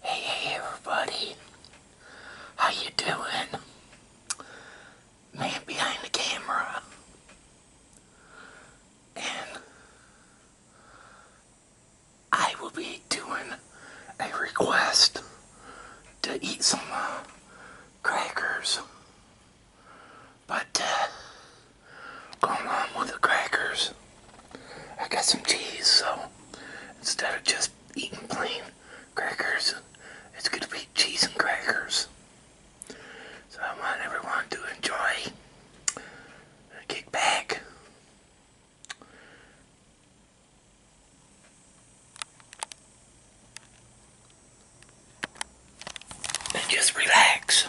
Hey, everybody, how you doing? Man behind the camera. And I will be doing a request to eat some uh, crackers. But uh, on with the crackers, I got some cheese, so instead of just eating plain crackers, it's going to be cheese and crackers. So I want everyone to enjoy kick back. And just relax.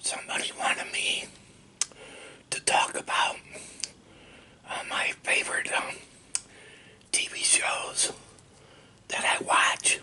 Somebody wanted me to talk about uh, my favorite um, TV shows that I watch.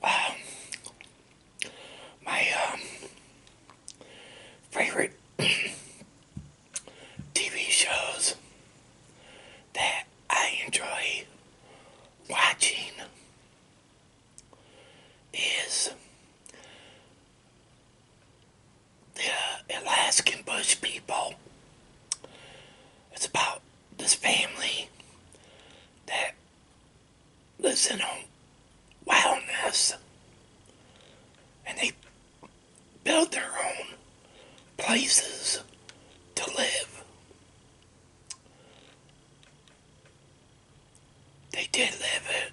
Uh, my um, favorite TV shows that I enjoy watching is the Alaskan Bush people. It's about this family that lives in a wilderness and they build their own places to live. They did live it.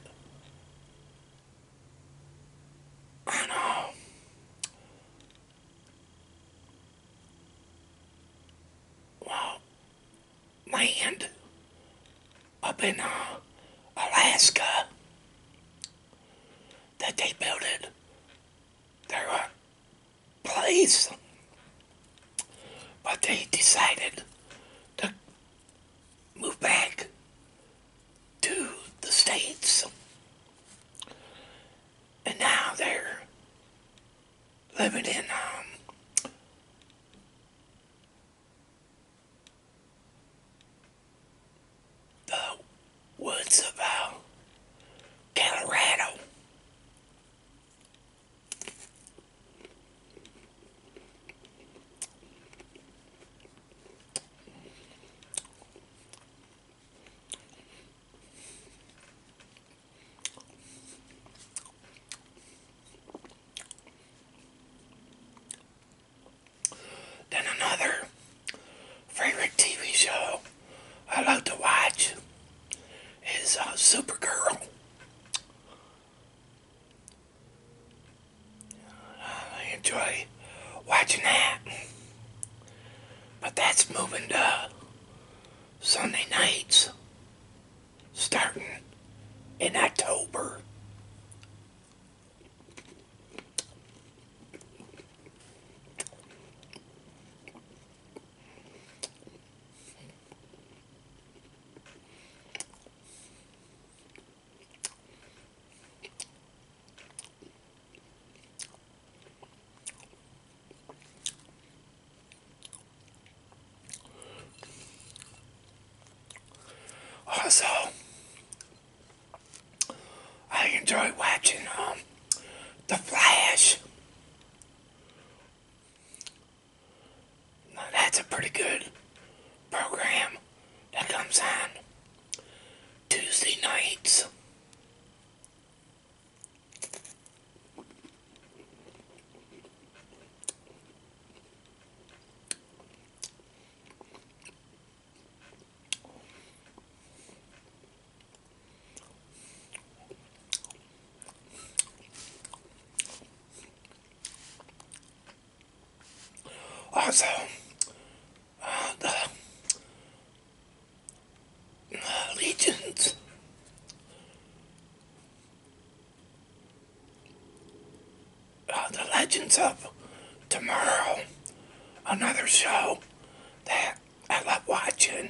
I know. Well, land up in uh, Alaska that they built it. Their uh, place. But they decided to moved back to the States. And now they're living in um, the woods of uh, Colorado. Then another favorite TV show I love to watch is uh, Supergirl. I enjoy watching that. But that's moving to Sunday nights starting in October. Also, oh, I enjoy watching um, The Flash. that's a pretty good program that comes on Tuesday nights. Also, uh, the uh, the legends of tomorrow another show that I love watching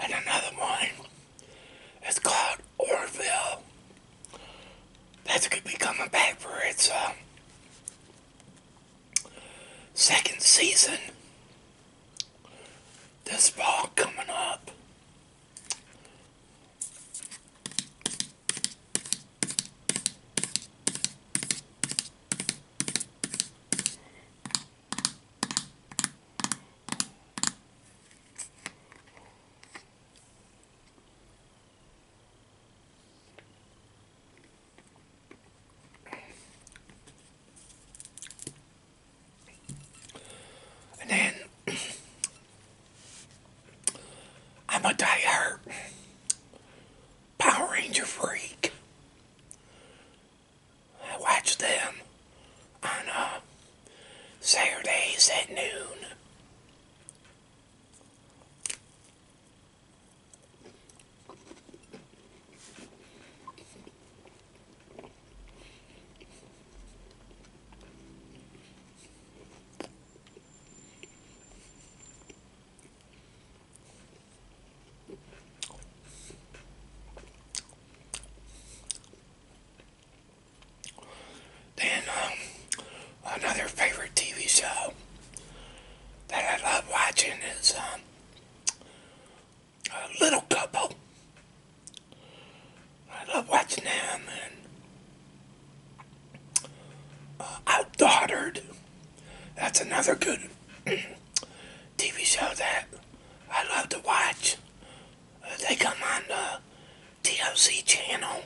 and another one. It's called Orville. That's going to be coming back for its uh, second season this fall coming up. And then I'm a diehard Power Ranger freak. I watch them on uh, Saturdays at noon. Then, um, another favorite TV show that I love watching is, um, a Little Couple. I love watching them, and uh, Outdaughtered. That's another good TV show that I love to watch. Uh, they come on uh, TOC channel.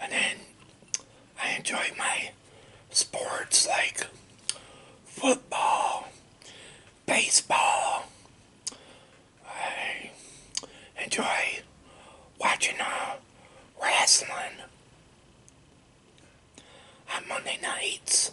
And then I enjoy my sports like football, baseball. I enjoy watching uh, wrestling on Monday nights.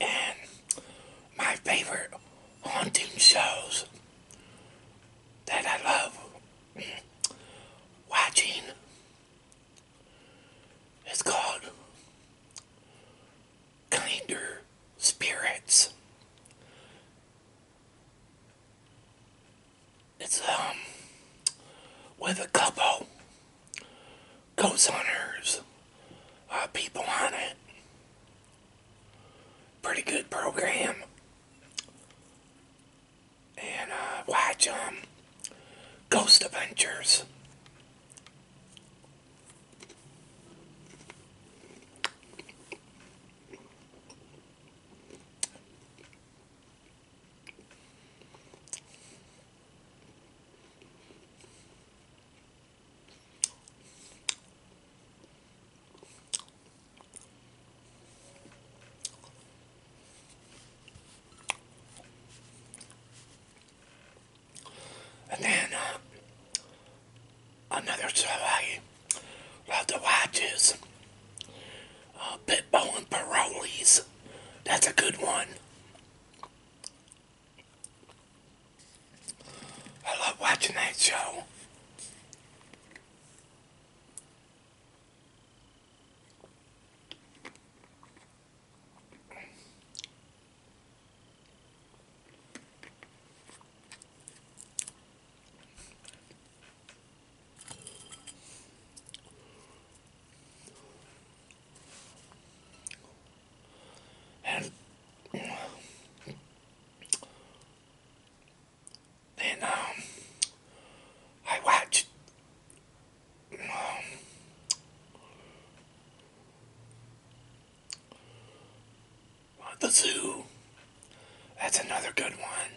And my favorite haunting shows that I love watching is called Kinder Spirits. It's um with a couple ghost hunters, people on it. Pretty good program. And uh, watch um, Ghost Adventures. And uh, another show love to watch is uh, Pitbull and Parolees. That's a good one. I love watching that show. And um, I watched um, the zoo. That's another good one.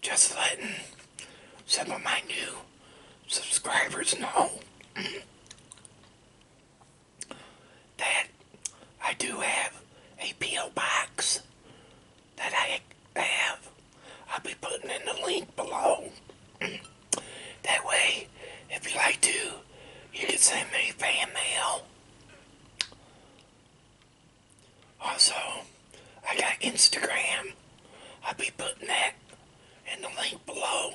just letting some of my new subscribers know that I do have a P.O. box that I have. I'll be putting in the link below. that way, if you like to, you can send me fan mail. Also, I got Instagram. I'll be putting that in the link below.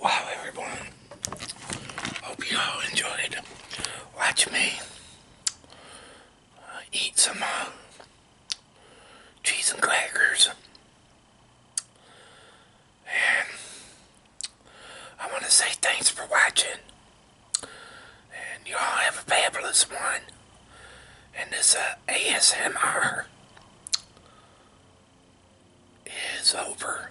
Wow, everyone. Hope you all enjoyed. Watch me uh, eat some uh, cheese and crackers. And I want to say thanks for watching. And y'all have a fabulous one. And this uh, ASMR is over.